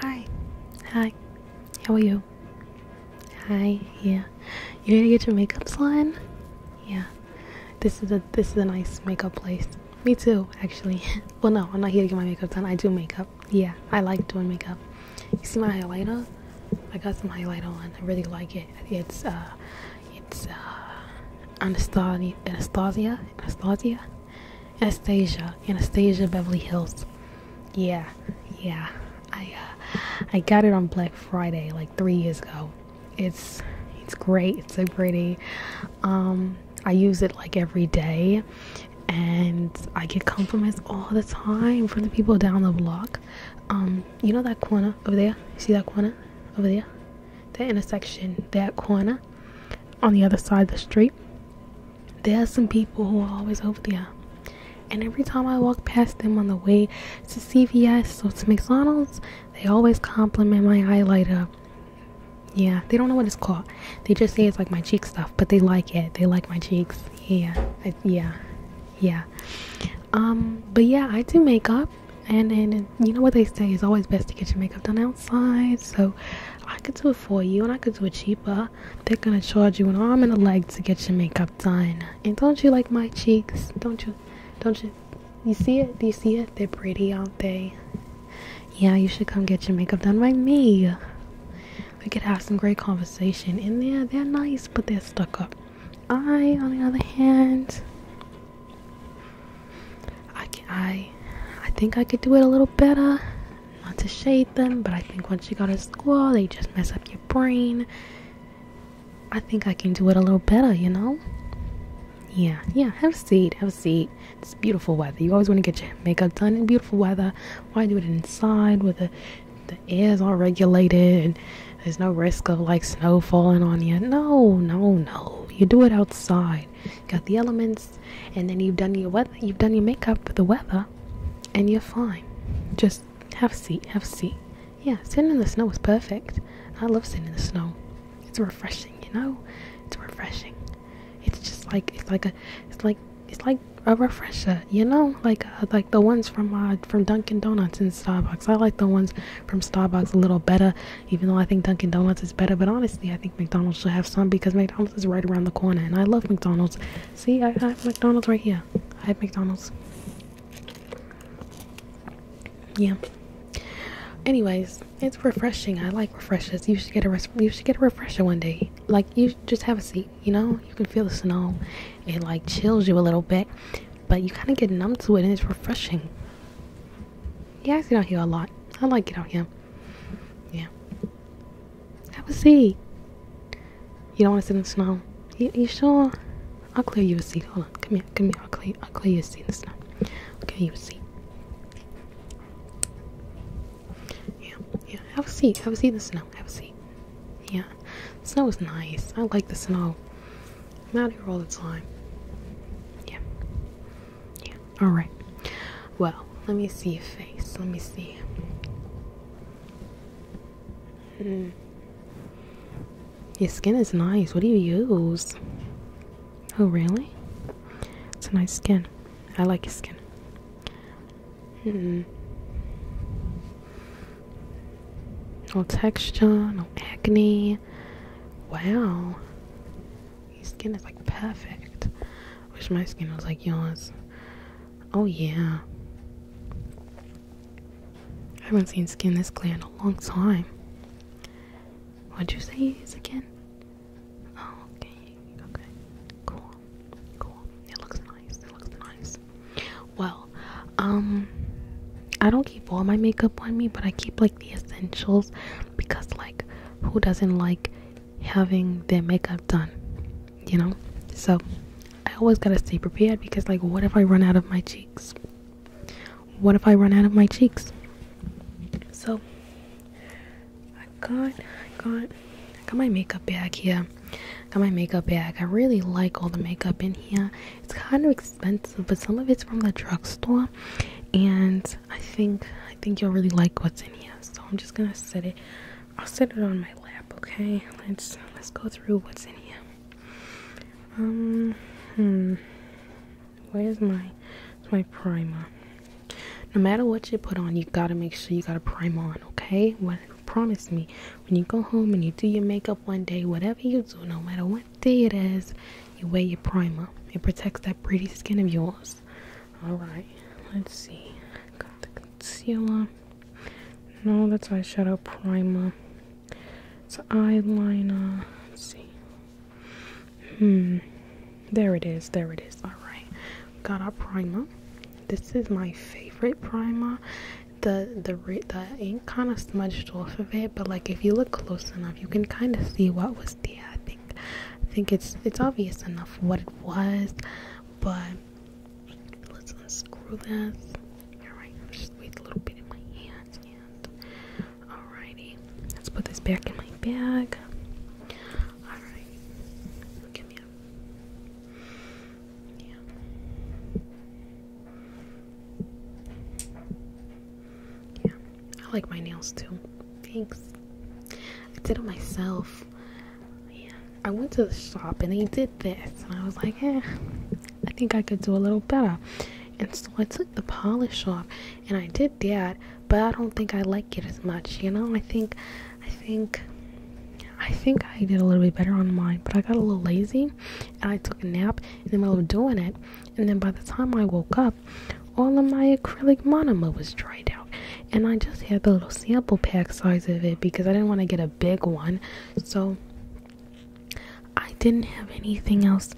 Hi, hi, how are you? Hi, yeah. You're gonna get your makeup slime? Yeah. This is a this is a nice makeup place. Me too, actually. well no, I'm not here to get my makeup done. I do makeup. Yeah, I like doing makeup. You see my highlighter? I got some highlighter on. I really like it. It's uh, it's uh, Anastasia, Anastasia, Anastasia, Anastasia, Anastasia Beverly Hills. Yeah, yeah. I uh, I got it on Black Friday like three years ago. It's it's great. It's so pretty. Um, I use it like every day and I get compliments all the time from the people down the block. Um, you know that corner over there? You see that corner over there? That intersection, that corner on the other side of the street. There are some people who are always over there. And every time I walk past them on the way to CVS or to McDonald's, they always compliment my highlighter. Yeah, they don't know what it's called. They just say it's like my cheek stuff, but they like it. They like my cheeks. Yeah, yeah, yeah. Um, but yeah, I do makeup, and then you know what they say is always best to get your makeup done outside. So I could do it for you, and I could do it cheaper. They're gonna charge you an arm and a leg to get your makeup done. And don't you like my cheeks? Don't you? Don't you? You see it? Do you see it? They're pretty, aren't they? Yeah, you should come get your makeup done by me. We could have some great conversation. And yeah, they're nice, but they're stuck up. I, on the other hand, I can, I, I think I could do it a little better. Not to shade them, but I think once you go to school, they just mess up your brain. I think I can do it a little better, you know? Yeah, yeah, have a seat, have a seat. It's beautiful weather. You always want to get your makeup done in beautiful weather. Why do it inside where the the air's all regulated and there's no risk of like snow falling on you. No, no, no. You do it outside. got the elements and then you've done your weather you've done your makeup for the weather and you're fine. Just have a seat, have a seat. Yeah, sitting in the snow is perfect. I love sitting in the snow. It's refreshing, you know? It's refreshing. It's just like it's like a it's like it's like a refresher, you know, like uh, like the ones from uh, from Dunkin' Donuts and Starbucks. I like the ones from Starbucks a little better, even though I think Dunkin' Donuts is better. But honestly, I think McDonald's should have some because McDonald's is right around the corner, and I love McDonald's. See, I have McDonald's right here. I have McDonald's. Yeah. Anyways, it's refreshing. I like refreshers. You should get a you should get a refresher one day. Like you just have a seat. You know, you can feel the snow. It like chills you a little bit, but you kind of get numb to it, and it's refreshing. Yeah, I sit out here a lot. I like it out here. Yeah. Have a seat. You don't want to sit in the snow. You, you sure? I'll clear you a seat. Hold on. Come here. Come here. I'll clear. I'll clear you a seat in the snow. Okay, you a seat. Yeah, yeah. Have a seat. Have a seat in the snow. Have a seat. Yeah. snow is nice. I like the snow. I'm out here all the time. Yeah. Yeah. Alright. Well, let me see your face. Let me see. Hmm. Your skin is nice. What do you use? Oh, really? It's a nice skin. I like his skin. Hmm. No texture, no acne. Wow. Your skin is like perfect. Wish my skin was like yours. Oh, yeah. I haven't seen skin this clear in a long time. What'd you say he is again? Oh, okay, okay, cool, cool. It looks nice. It looks nice. Well, um, I don't keep all my makeup on me, but I keep like the essentials because, like, who doesn't like having their makeup done? You know. So I always gotta stay prepared because, like, what if I run out of my cheeks? what if I run out of my cheeks? So I got got got my makeup bag here. got my makeup bag. I really like all the makeup in here. It's kind of expensive, but some of it's from the drugstore and I think I think you all really like what's in here. So I'm just gonna set it. I'll set it on my lap, okay? Let's let's go through what's in here. Um hmm. Where is my my primer? No matter what you put on, you gotta make sure you got a primer on, okay? What promise me when you go home and you do your makeup one day, whatever you do, no matter what day it is, you wear your primer. It protects that pretty skin of yours. Alright, let's see. Got the concealer. No, that's eyeshadow primer. So eyeliner. Let's see. Hmm. There it is. There it is. All right. Got our primer. This is my favorite primer. The the the ink kind of smudged off of it, but like if you look close enough, you can kind of see what was there. I think I think it's it's obvious enough what it was, but let's unscrew this. All just wait a little bit in my hands Alrighty, let's put this back in my bag. Alright, come here. Yeah. Yeah, I like my nails too. Thanks. I did it myself. Yeah, I went to the shop and they did this, and I was like, eh, I think I could do a little better. And so I took the polish off, and I did that, but I don't think I like it as much, you know? I think I think I think I did a little bit better on mine, but I got a little lazy and I took a nap in the middle of doing it. And then by the time I woke up, all of my acrylic monomer was dried out. And I just had the little sample pack size of it because I didn't want to get a big one. So I didn't have anything else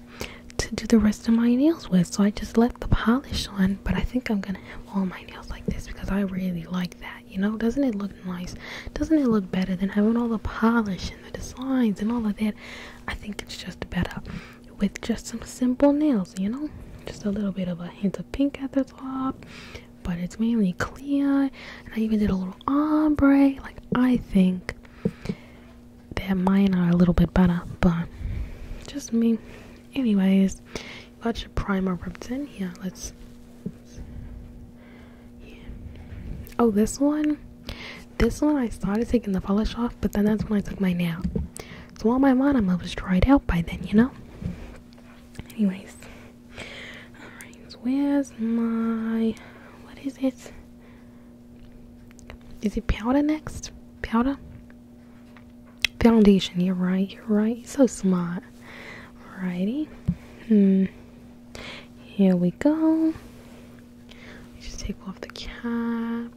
to do the rest of my nails with, so I just left the polish on. But I think I'm gonna have all my nails like this because I really like that. You know, doesn't it look nice? Doesn't it look better than having all the polish and the designs and all of that? I think it's just better with just some simple nails, you know, just a little bit of a hint of pink at the top, but it's mainly clear. And I even did a little ombre. Like, I think that mine are a little bit better, but just me. Anyways, got your primer ripped in here. Let's. Yeah. Oh, this one. This one I started taking the polish off, but then that's when I took my nail. So all my monomer was dried out by then, you know. Anyways, all right. Where's my? What is it? Is it powder next? Powder? Foundation, you're right, you're right. so smart. Alrighty. Hmm. Here we go. Just take off the cap.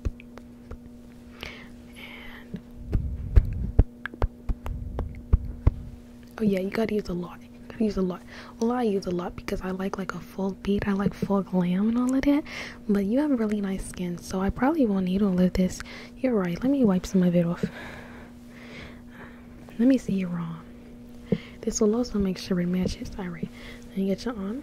oh yeah, you gotta use a lot. You gotta use a lot. Well I use a lot because I like like a full beat. I like full glam and all of that. But you have really nice skin, so I probably won't need all of this. You're right. Let me wipe some of it off. Let me see you arm. This will also make sure it matches. All right. Let me get your arm.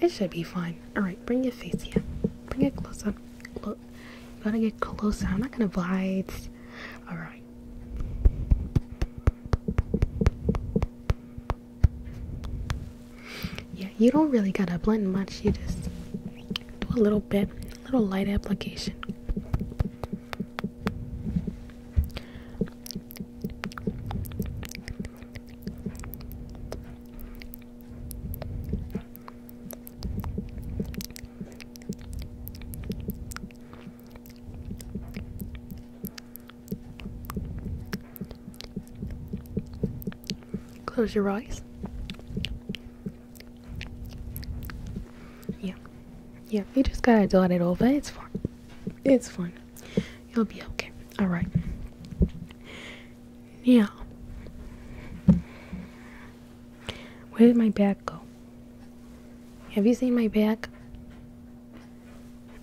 It should be fine. All right. Bring your face here. Bring it closer. Look. You gotta get closer. I'm not gonna bite. All right. Yeah, you don't really gotta blend much. You just do a little bit, a little light application. Close your eyes. Yeah. Yeah, you just gotta do it over. It's fine. It's fine. You'll be okay. Alright. Yeah. Where did my bag go? Have you seen my bag?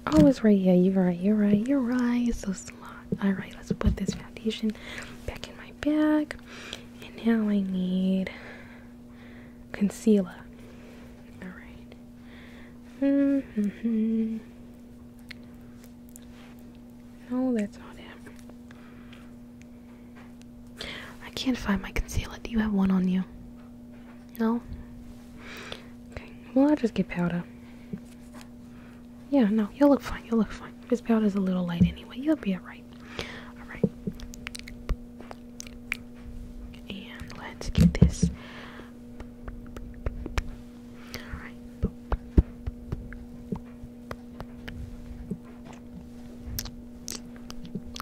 Oh, it's right here. You're right. You're right. You're right. It's so smart. All right, let's put this foundation back in my bag. And now I need concealer. All right. Mm -hmm. No, that's not it. I can't find my concealer. Do you have one on you? No? Okay. Well, I'll just get powder. Yeah, no, you'll look fine. You'll look fine. This powder's a little light anyway. You'll be alright. Alright. And let's get this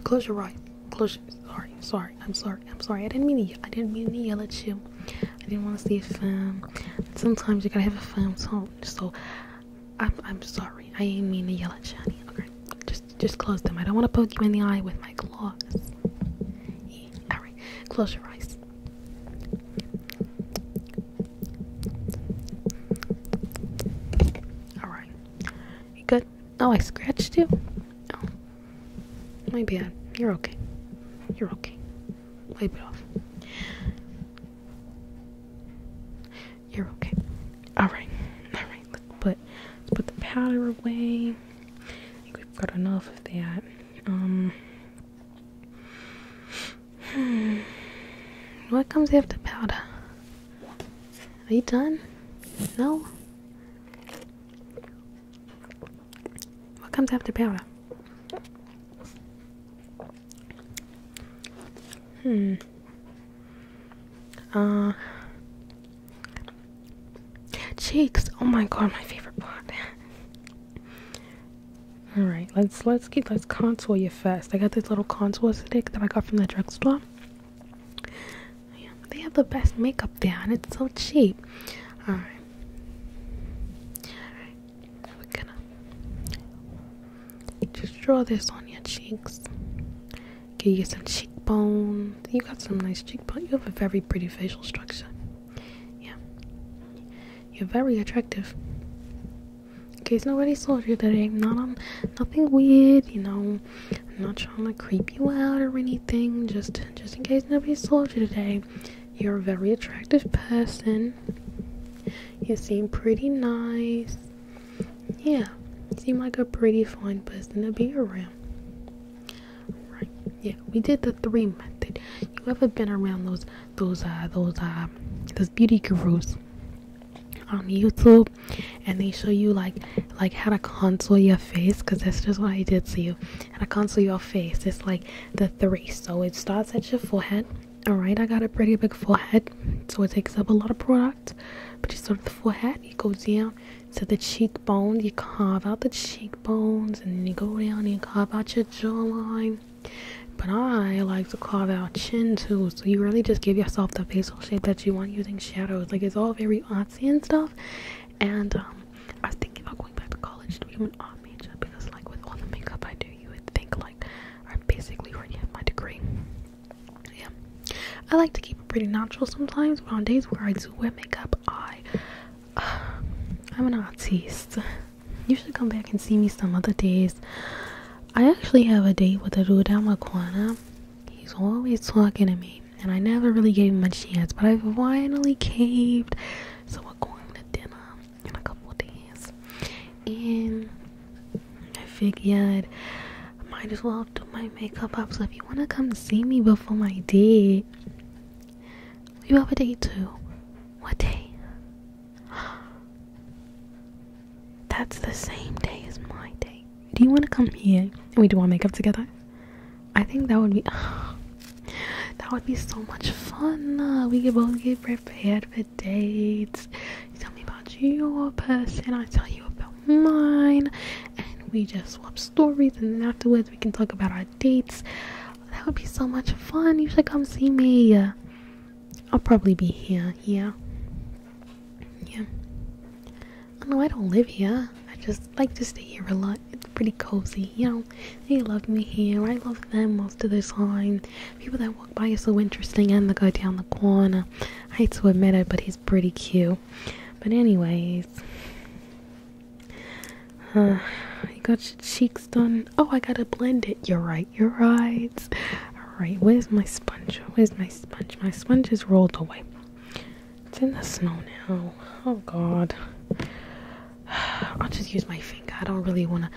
Close your eyes. Close. sorry, sorry. I'm sorry. I'm sorry. I didn't mean to. I didn't mean to yell at you. I didn't want to see a film. Sometimes you gotta have a film So, I'm I'm sorry. I didn't mean to yell at you. Just just close them. I don't want to poke you in the eye with my claws. All right. Close your eyes. Alright. good? Oh, I scratched you? Oh. My bad. You're okay. You're okay. Wipe it off. You're okay. Alright. Alright. Let's put, put the powder away. I think we've got enough of that. Um. Hmm. What comes after powder? Are you done? No? What comes after powder? Hmm. Uh. Cheeks. Oh my god, my favorite part. All right, let's let's get let's contour you first. I got this little contour stick that I got from the drugstore. they have the best makeup there, and it's so cheap. All All right. We're gonna just draw this on your cheeks. Give you some cheekbone. You got some nice cheekbones. You have a very pretty facial structure yeah. You're very attractive. In case nobody saw you today, not nothing weird, you know. I'm not trying to creep you out or anything. Just, just in case nobody saw you today, you're a very attractive person. You seem pretty nice. Yeah, you seem like a pretty fine person to be around. Right? Yeah, we did the three method. You ever been around those those uh those uh those beauty gurus on YouTube and they show you like like how to contour your face because that's just what I did to you how to contour your face it's like the three so it starts at your forehead all right I got a pretty big forehead so it takes up a lot of product but you start with the forehead you go down to the cheekbone you carve out the cheekbones and then you go down and you carve out your jawline but I like to carve out chin too, so you really just give yourself the facial shape that you want using shadows. Like it's all very artsy and stuff. And um, I was thinking about going back to college to become an art major because, like, with all the makeup I do, you would think like I basically already have my degree. Yeah, I like to keep it pretty natural sometimes, but on days where I do wear makeup, I I'm an artist. You should come back and see me some other days. I actually have a date with a dude out Makwana. He's always talking to me, and I never really gave him a chance, but I finally caved. So we're going to dinner in a couple days. And I figured I might as well do my makeup up. So if you want to come see me before my date, you have a date too. What day? That's the same day as my day. Do you want to come here and we do our makeup together? I think that would be that would be so much fun. we could both get prepared for dates. You tell me about your person, I tell you about mine, and we just swap stories. And then afterwards, we can talk about our dates. That would be so much fun. You should come see me. I'll probably be here. Yeah. Yeah. Oh, no, I don't live here. I just like to stay here a lot. It's pretty cozy. You know, they love me here. I love them most of the time. People that walk by are so interesting. And the guy down the corner. I hate to admit it, but he's pretty cute. But anyways, uh, you got your cheeks done. Oh, I gotta blend it. You're right. You're All right. Where's my sponge? Where's my sponge? My sponge has rolled away. It's in the snow now. Oh God. I'll just use my finger. I don't really wanna.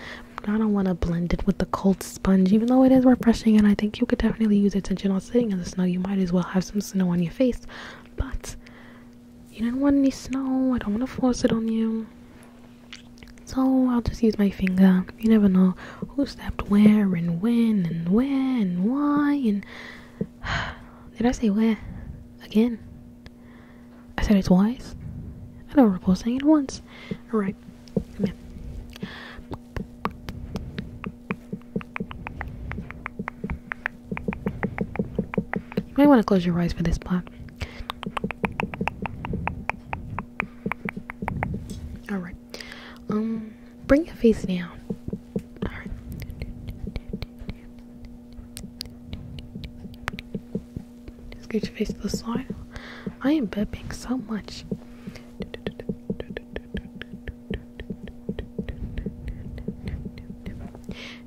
I don't wanna blend it with the cold sponge, even though it is refreshing. And I think you could definitely use attention on sitting in the snow. You might as well have some snow on your face. But you do not want any snow. I don't want to force it on you. So I'll just use my finger. You never know who stepped where and when and when and why and. Did I say where? Again? I said it twice? I don't recall saying it once. Alright, you may want to close your eyes for this part. All right. Um, bring your face down. All right. Scoot your face to the side. I am burping so much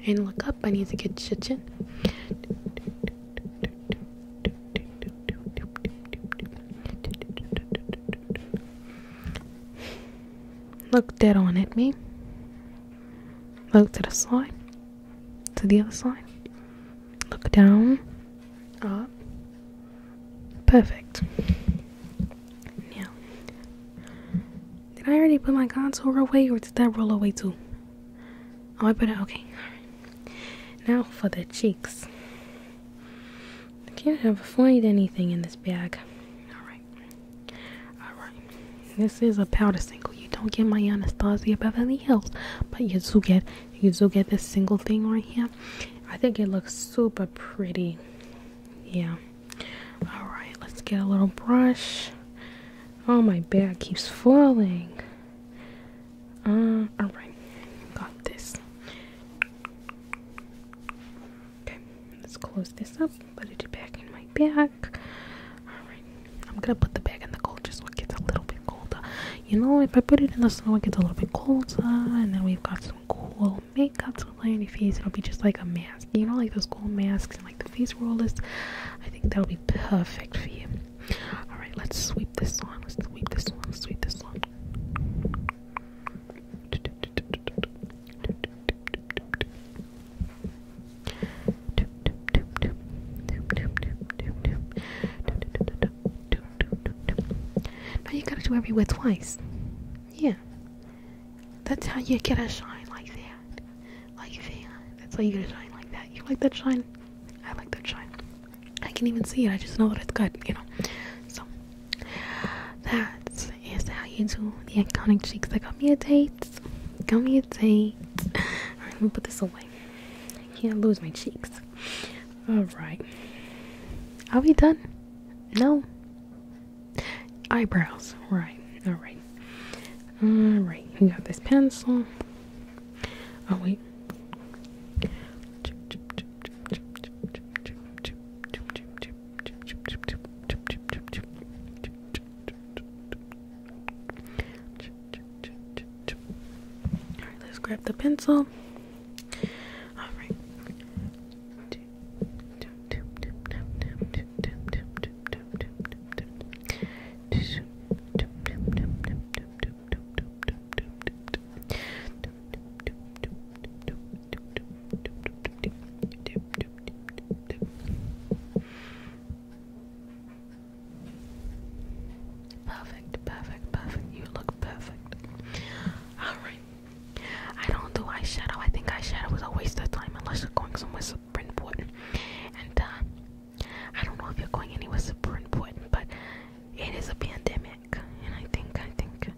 and look up. I need to get shit Look dead on at me. Look to the side. To the other side. Look down. Up. Perfect. Now, did I already put my contour away or did that roll away too? Oh, I put it. Okay. Now for the cheeks. I can't ever find anything in this bag. All right. All right. This is a powder single. You don't get my Anastasia Beverly Hills, but you do get you do get this single thing right here. I think it looks super pretty. Yeah. Alright, let's get a little brush. Oh, my bag keeps falling. Uh, alright. Got this. Okay, let's close this up. Put it back in my bag. Alright, I'm gonna put the bag in the cold just so it gets a little bit colder. You know, if I put it in the snow, it gets a little bit colder. And then we've got some cool makeup to lay on your face. It'll be just like a mask. You know, like those cool masks like the face rollers. I think that'll be perfect for you. Alright, let's sweep this one. Let's sweep this one. Let's sweep this one. Now you gotta do every word twice. Yeah. That's how you get a shine like that. Like that. That's how you get a shine like that. You like that shine? I like that shine. I can not even see it. I just know that it's good, you know. So, that is how you do the iconic cheeks. I got me a date. Got me a date. Alright, let me put this away. I can't lose my cheeks. Alright. Are we done? No eyebrows. Right. All right. All right. We got this pencil. Oh wait. All right, let's grab the pencil. All right. Perfect, perfect, perfect. You look perfect. All right. I don't do eyeshadow. I think eyeshadow is a waste of time unless you're going somewhere super important. And uh, I don't know if you're going anywhere super important, but it is a pandemic, and I think, I think,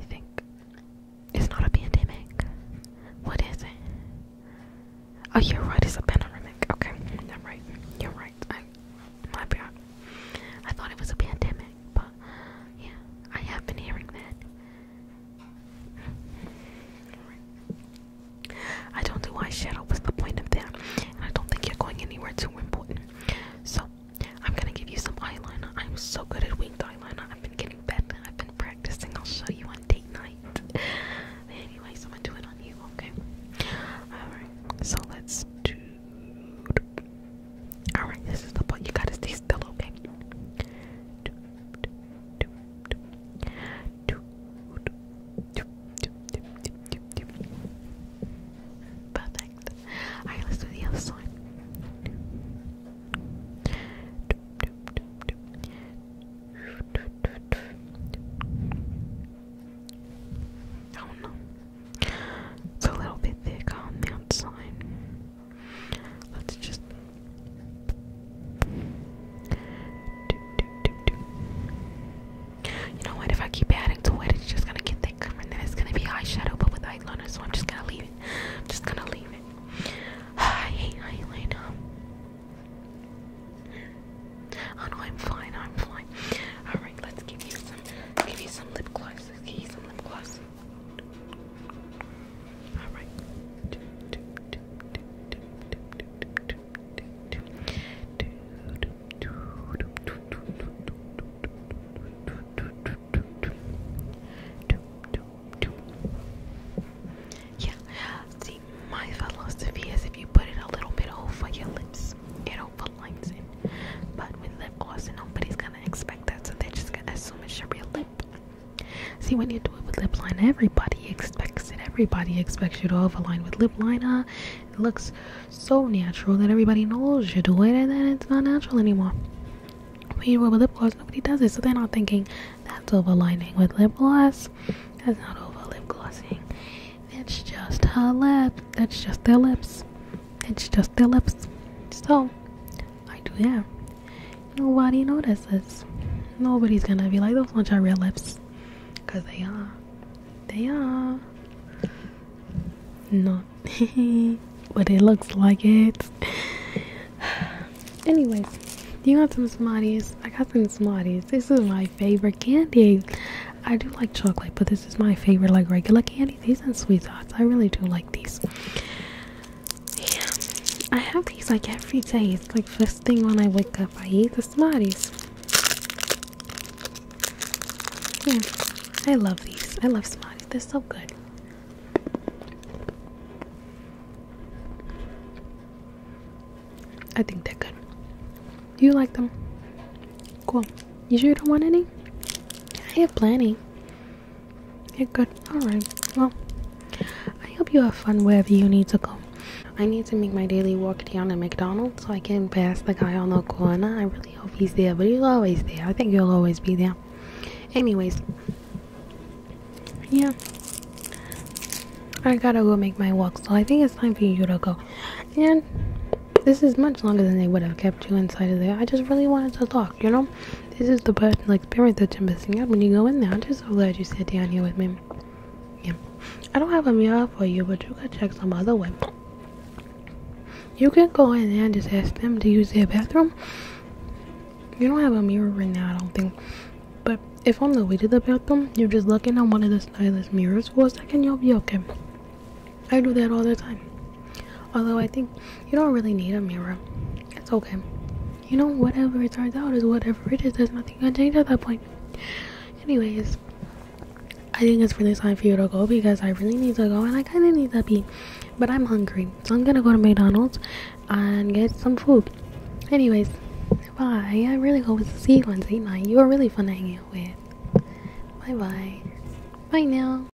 I think it's not a pandemic. What is it? Oh, you're right. It's a pandemic. Okay, I'm right. You're right. I, my bad. I thought it was a pandemic, but yeah, I have been hearing that. I don't do eyeshadow. What's the point of that? I don't think you're going anywhere too important. So I'm gonna give you some eyeliner. I'm so good at winged eyeliner. I've been getting better. I've been practicing. I'll show you on date night. Anyways, I'm gonna do it on you. Okay. All right. So let's do. All right. This is the part. You gotta stay he's still okay. Perfect. Alright, let's do the other side. Oh no. It's a little bit thick on the outside. Let's just You know what? If I keep adding to it, it's just gonna get thicker, and then it's gonna be eyeshadow, but with eyeliner. So I'm just gonna leave it. I'm just gonna leave it. I hate eyeliner. Oh no, I'm fine. I'm fine. All right, let's give you some, give you some lip gloss. give you some lip gloss. All right. Yeah, see, my philosophy is if you put it a little bit over your lips, it overlines it. But with lip gloss, nobody's gonna expect that, so they're just gonna assume it's your real lip. See, when you do it with lip line, everybody expects it. Everybody expects you to overline with lip liner. It looks so natural that everybody knows you do it, and then it's not natural anymore. When you do it with lip gloss, nobody does it, so they're not thinking that's overlining with lip gloss. That's not over lip glossing. It's just her lip. That's just their lips. It's just their lips. So, I do yeah. Nobody notices. Nobody's gonna be like those bunch of red lips. Cause they are. They are. not, but it looks like it. Anyways, you got some Smarties? I got some Smarties. This is my favorite candy. I do like chocolate, but this is my favorite, like regular candy. These are sweet tarts. I really do like these. Yeah, I have these like every day. It's like first thing when I wake up, I eat the smokies. Yeah, I love these. I love smokies. They're so good. I think they're good. Do you like them? Cool. You sure you don't want any? I have plenty. You're good. Alright. Well, I hope you have fun wherever you need to go. I need to make my daily walk down at McDonald's so I can pass the guy on the corner. I really hope he's there, but he's always there. I think he'll always be there. Anyways, yeah. I gotta go make my walk, so I think it's time for you to go. And this is much longer than they would have kept you inside of there. I just really wanted to talk, you know? This is the personal experience that you're missing out when you go in there. I'm just so glad you sat down here with me. Yeah. I don't have a mirror for you, but you can check some other way. You can go in there and just ask them to use their bathroom. You don't have a mirror right now, I don't think. But if on the way to the bathroom, you just look in on one of the stylish mirrors for a second, you'll be okay. I do that all the time. Although I think you don't really need a mirror. It's okay. You know, whatever it turns out is whatever it is. There's nothing going can change at that point. Anyways, I think it's really time for you to go because I really need to go and I kinda need to be. But I'm hungry. So I'm gonna go to McDonald's and get some food. Anyways, bye. I really hope to see you on date night. You were really fun to hang out with. Bye bye. Bye now.